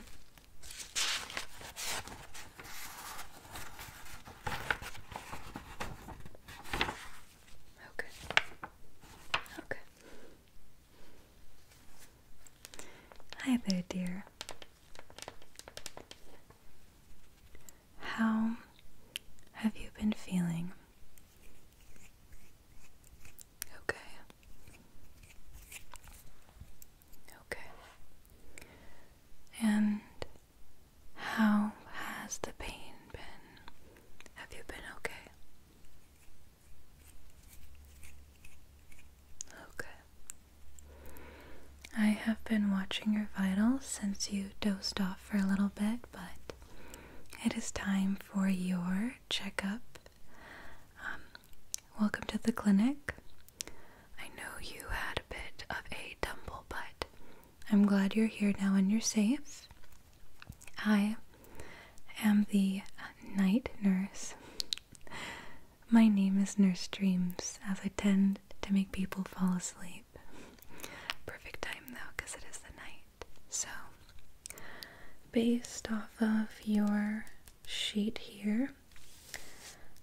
Okay. Oh, okay. Oh, Hi there, dear. How have you been feeling? Okay. Okay. And how has the pain been? Have you been okay? Okay. I have been watching your vitals since you dozed off for a little bit, but it is time for your checkup. Um, Welcome to the clinic. I know you had a bit of a tumble, but I'm glad you're here now and you're safe. I am the night nurse. My name is Nurse Dreams, as I tend to make people fall asleep. Perfect time though, it is the night. So, based off of your sheet here,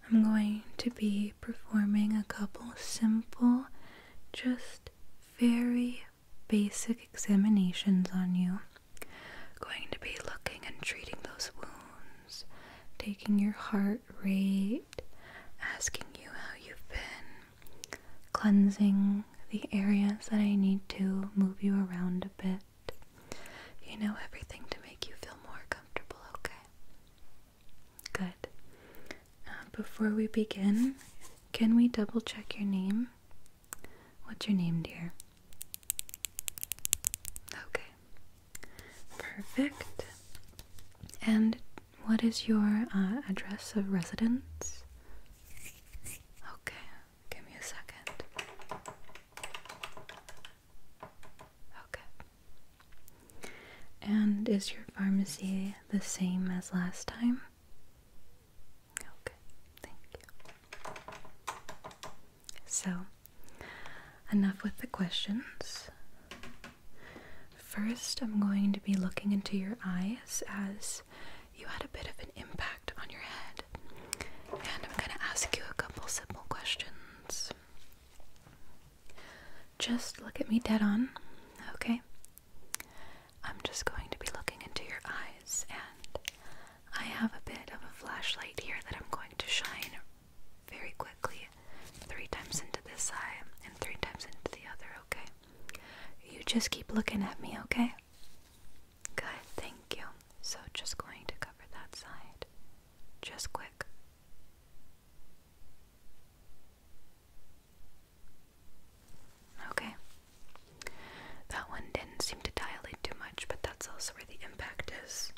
I'm going to be performing a couple simple, just very basic examinations on you. Going to be looking and treating those wounds, taking your heart rate, asking you how you've been, cleansing the areas that I need to move you around a bit. You know everything to make you feel more comfortable, okay? Good. Uh, before we begin, can we double check your name? What's your name, dear? Okay. Perfect. And what is your uh, address of residence? Okay, give me a second. Okay. And is your pharmacy the same as last time? Okay, thank you. So, enough with the questions. First, I'm going to be looking into your eyes as you had a bit of an impact on your head. And I'm going to ask you a couple simple questions. Just look at me dead on, okay? I'm just going to be looking into your eyes, and I have a bit of a flashlight here that I'm going to shine very quickly three times into this eye and three times into the other, okay? You just keep looking at me, okay? Good, thank you. So just going to cover that side. Just quick. Okay. That one didn't seem to dilate too much, but that's also where the impact is.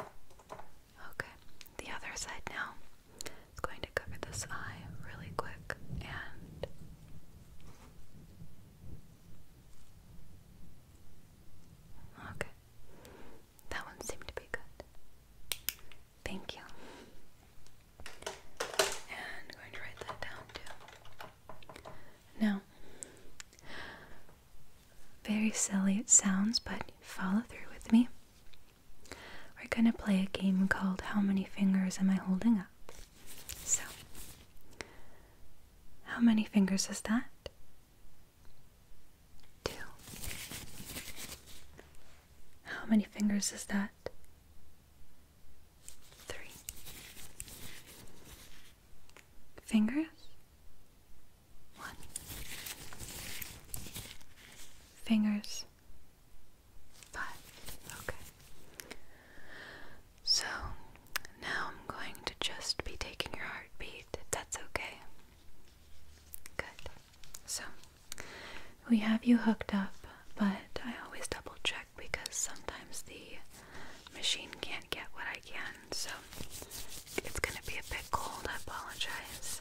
Okay, the other side now. It's going to cover this eye really quick and Okay. That one seemed to be good. Thank you. And going to write that down too. Now, very silly it sounds, but follow through with me. We're going to play a game called How Many Fingers Am I Holding Up? So, how many fingers is that? Two. How many fingers is that? Three. Fingers? One. Fingers? Five. Okay. So now I'm going to just be taking your heartbeat, that's okay. Good. So we have you hooked up, but I always double check because sometimes the machine can't get what I can. So it's going to be a bit cold. I apologize.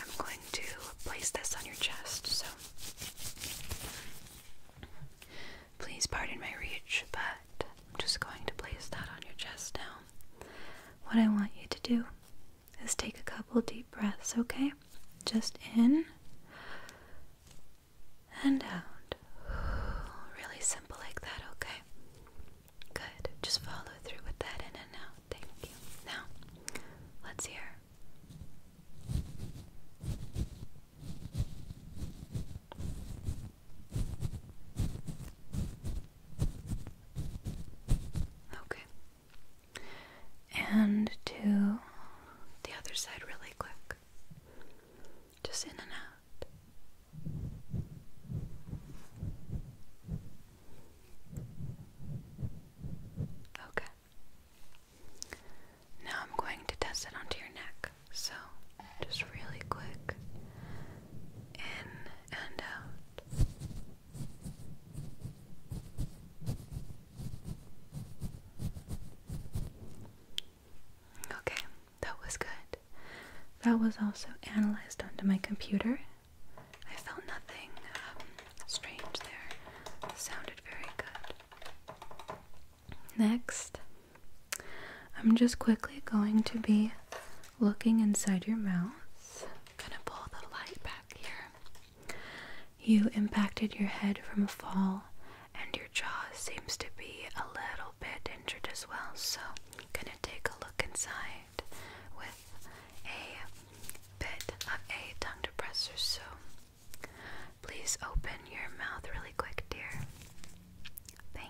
I'm going to place this on your chest. So Please pardon my reach, but I'm just going to place that on your chest now. What I want you to do is take a couple deep breaths, okay? Just in and out. Really simple like that, okay? Good. Just follow through with that in and out. Thank you. Now, let's hear. Okay. And to the other side, really quick. Just in and out. Okay. Now I'm going to test it onto your neck. So, just really quick. In and out. Okay, that was good. That was also analyzed onto my computer. I felt nothing um, strange there. sounded very good. Next, I'm just quickly going to be looking inside your mouth. gonna pull the light back here. You impacted your head from a fall, and your jaw seems to be a little bit injured as well. So, I'm gonna take a look inside with a bit of a tongue depressor. So, please open your mouth really quick, dear. Thank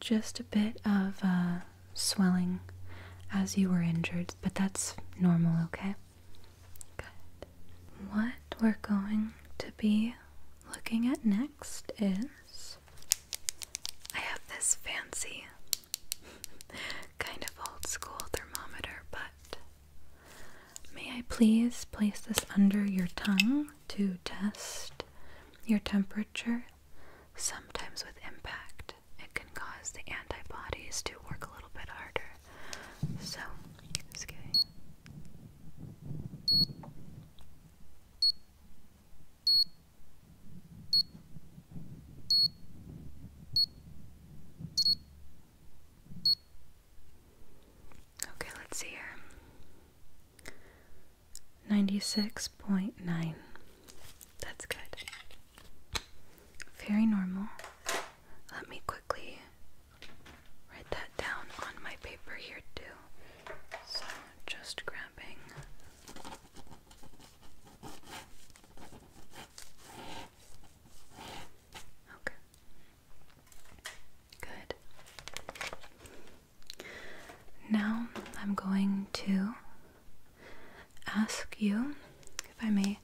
just a bit of uh, swelling as you were injured, but that's normal, okay? What we're going to be looking at next is I have this fancy, kind of old school thermometer, but may I please place this under your tongue to test your temperature? Sometimes with impact, it can cause the antibodies to work a little bit harder. So, just Okay, let's see here. 96.9. That's good. Very normal. Let me quickly write that down on my paper here, too. So, just grabbing. Okay. Good. Now I'm going to ask you if I may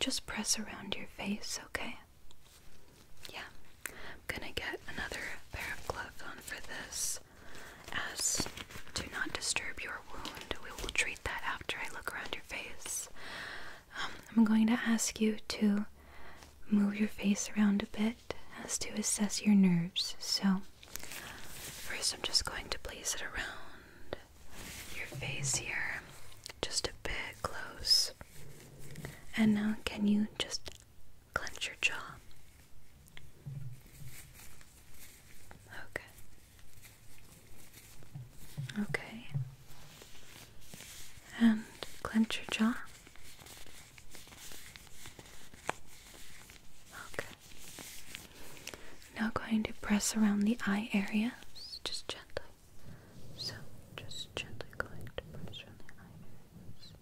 just press around your face, okay? Yeah. I'm gonna get another pair of gloves on for this as do not disturb your wound. We will treat that after I look around your face. Um, I'm going to ask you to move your face around a bit it has to assess your nerves. So, first, I'm just going to place it around your face here, just a bit close. And now, can you just clench your jaw? Okay. Okay. And clench your jaw. Okay. Now going to press around the eye area, just gently. So, just gently going to press around the eye areas.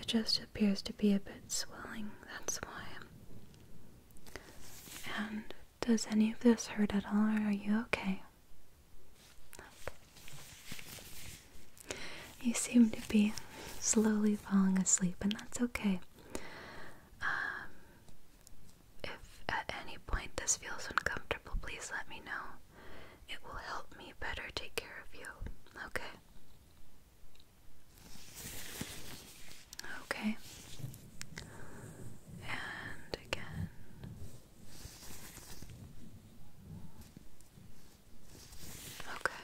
It just appears to be a bit swelling, that's why. And does any of this hurt at all, or are you okay. You seem to be slowly falling asleep, and that's okay. Um, if at any point this feels uncomfortable, please let me know. It will help me better take care of you, okay? Okay. And again. Okay.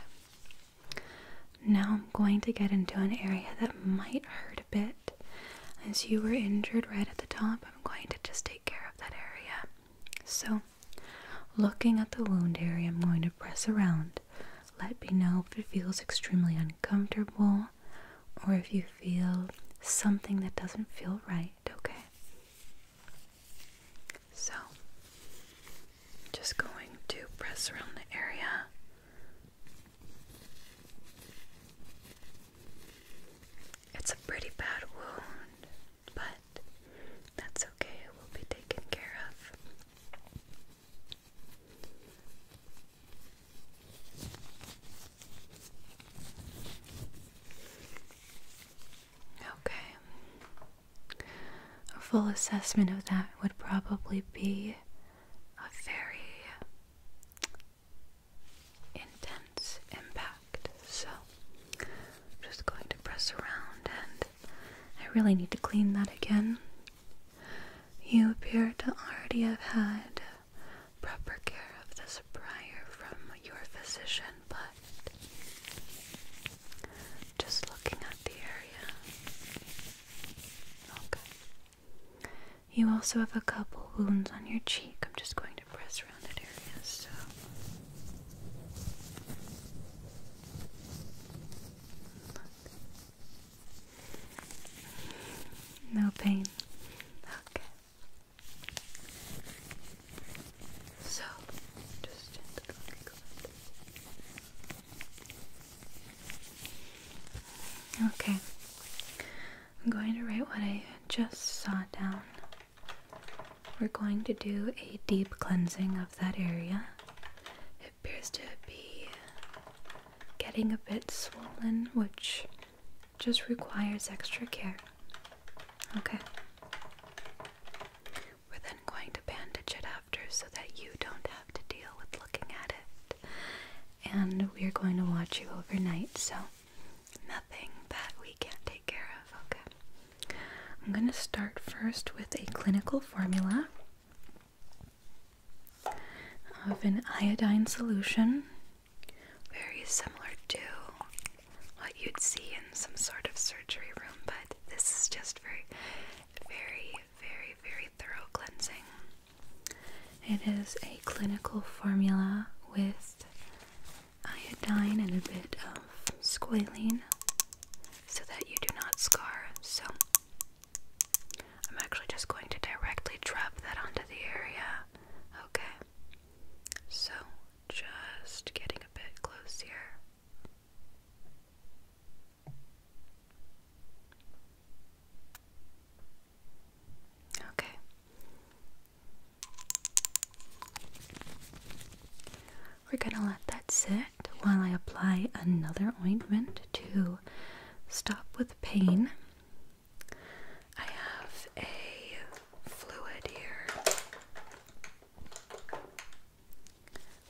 Now I'm going to get into an area that might hurt a bit. As you were injured right at the top, I'm going to just take care of that area. So, looking at the wound area, I'm going to press around. Let me know if it feels extremely uncomfortable or if you feel something that doesn't feel right, okay? So, just going to press around the area. It's a pretty bad wound, but that's okay, it will be taken care of. Okay. A full assessment of that would probably be a very intense impact. So I'm just going to press around and I really need to clean that again. You appear to already have had proper care of this prior from your physician, but just looking at the area. Okay. You also have a couple wounds on your cheek. I'm just going to press around that area. So. No pain. Okay. So, just gently Okay, I'm going to write what I just saw down. We're going to do a deep cleansing of that area. It appears to be getting a bit swollen, which just requires extra care. Okay. We're then going to bandage it after so that you don't have to deal with looking at it. And we are going to watch you overnight, so nothing that we can't take care of, okay? I'm going to start first with a clinical formula of an iodine solution, very similar to what you'd see in some sort of surgery room, but this is just very very, very, very thorough cleansing. It is a clinical formula with iodine and a bit of squalene so that you do not scar. So I'm actually just going to directly drop that onto the area. Okay. So just getting a bit close here. Okay. We're going to let that sit while I apply another ointment to stop with pain. I have a fluid here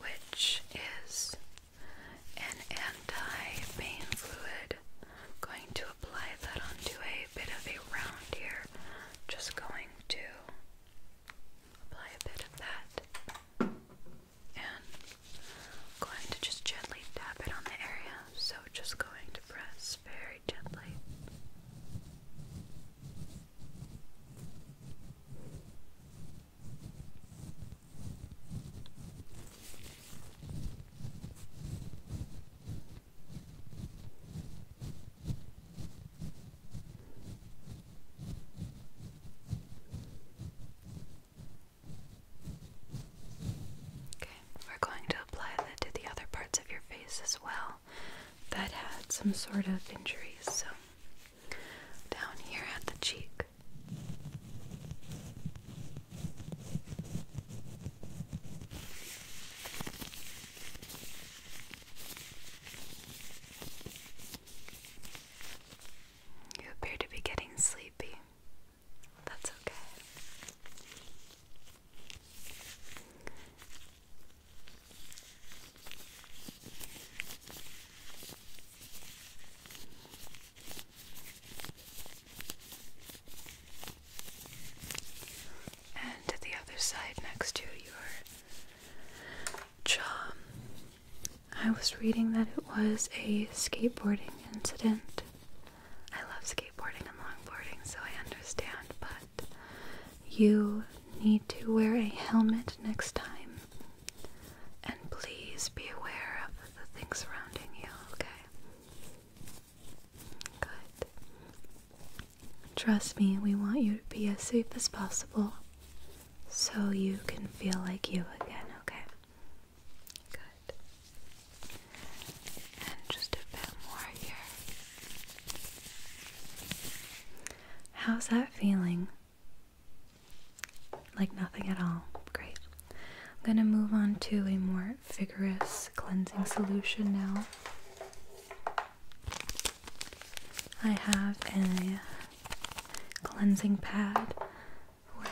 which is an anti-pain fluid. I'm going to apply that onto a bit of a round here. Just going to apply a bit of that. And going to just gently tap it on the area. So just going to press very gently. Okay, we're going to apply that to the other parts of your face as well that had some sort of injuries. So down here at the cheek. You appear to be getting sleepy. That's okay. And the other side next to your jaw. I was reading that it was a skateboarding incident. I love skateboarding and longboarding, so I understand, but you need to wear a helmet next time and please be aware of the things surrounding you, okay? Good. Trust me, we want you to be as safe as possible so you can feel like you again, okay? Good. And just a bit more here. How's that feeling? Like nothing at all. Great. I'm going to move on to a more vigorous cleansing solution now. I have a cleansing pad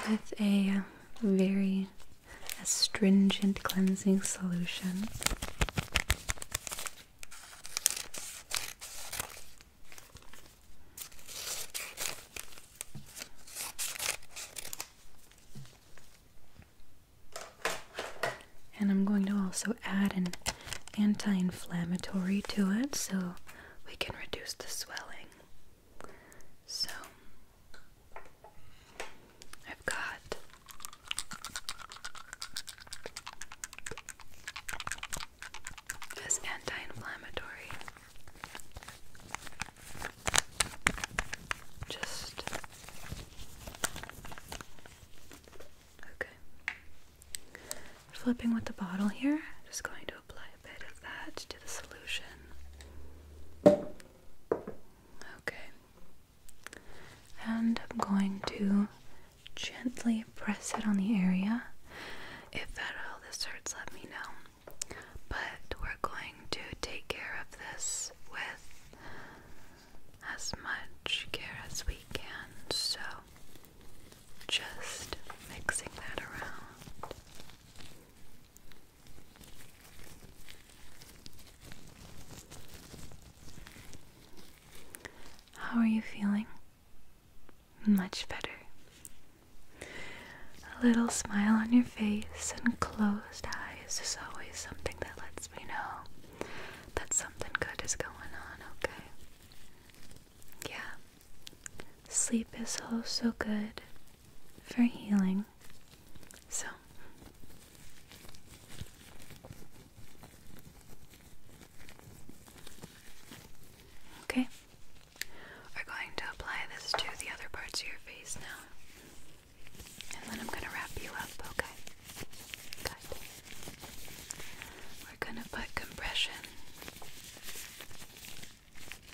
with a very astringent cleansing solution. And I'm going to also add an anti inflammatory to it so we can reduce the swelling. So I've got as anti-inflammatory. Just okay. Flipping with the bottle here, just going to apply a bit of that to the solution. Okay. And I'm going to gently press it on the area. If at all this hurts, let me know. But we're going to take care of this with as much care as we can. So just mixing that around. How are you feeling? Much better. A little smile on your face and closed eyes is always something that lets me know that something good is going on, okay? Yeah. Sleep is also good for healing. So, Okay. We're going to apply this to the other parts of your face now. And then I'm going to wrap you up, okay? We're going to put compression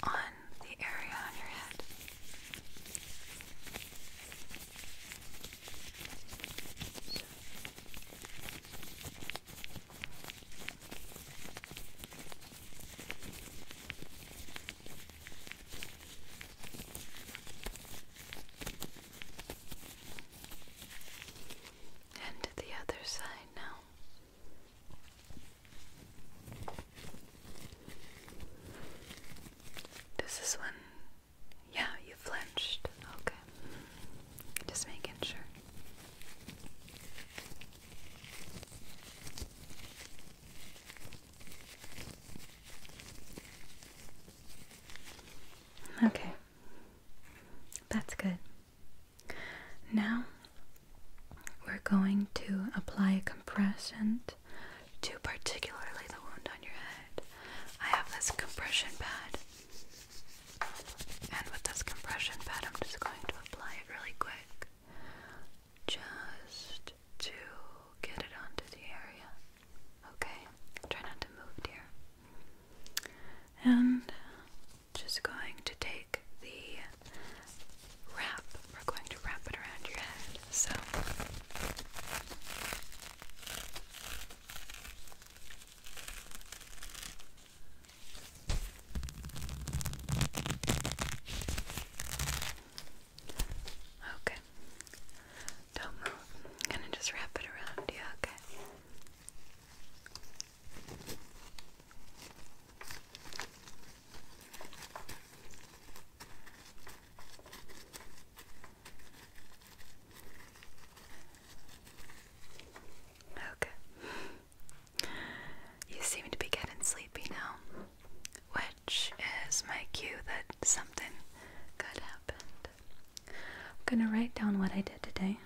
on the area on your head. And the other side now. This is when, yeah, you flinched. Okay. Just making sure. Okay. That's good. Now we're going to apply a compression to particularly the wound on your head. I have this compression pad and with this compression pad, I'm just going to apply it really quick just to get it onto the area. Okay, try not to move, dear. And just going to take the wrap, we're going to wrap it around your head. So. Okay. Don't move. gonna just wrap it around you, okay? Okay. You seem to be getting sleepy now, which is my cue that something good happened. I'm gonna write down what I did today.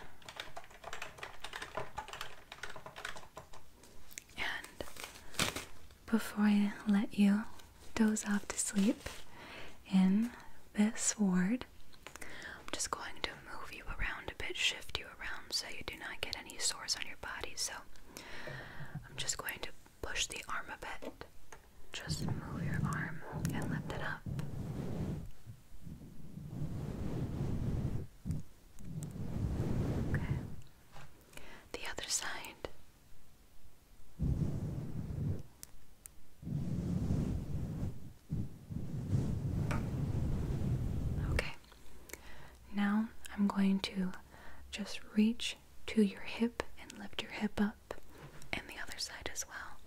And before I let you doze off to sleep in this ward, I'm just going to move you around a bit, shift you around so you do not get any sores on your body. So I'm just going to push the arm a bit. Just move your arm and lift it up. Okay. The other side. Okay, now I'm going to just reach to your hip and lift your hip up, and the other side as well.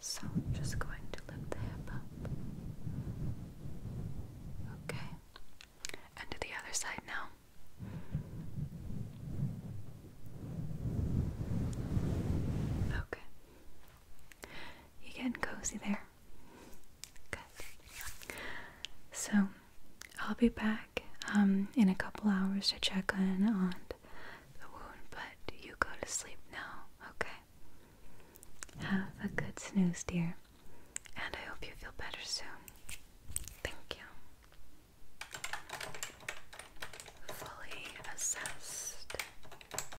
So, I'm just going to lift the hip up. Okay, and to the other side now. Okay. You are getting cozy there? Good. So, I'll be back um, in a couple hours to check in on the wound, but you go to sleep now, okay? Have a good snooze, dear, and I hope you feel better soon. Thank you. Fully assessed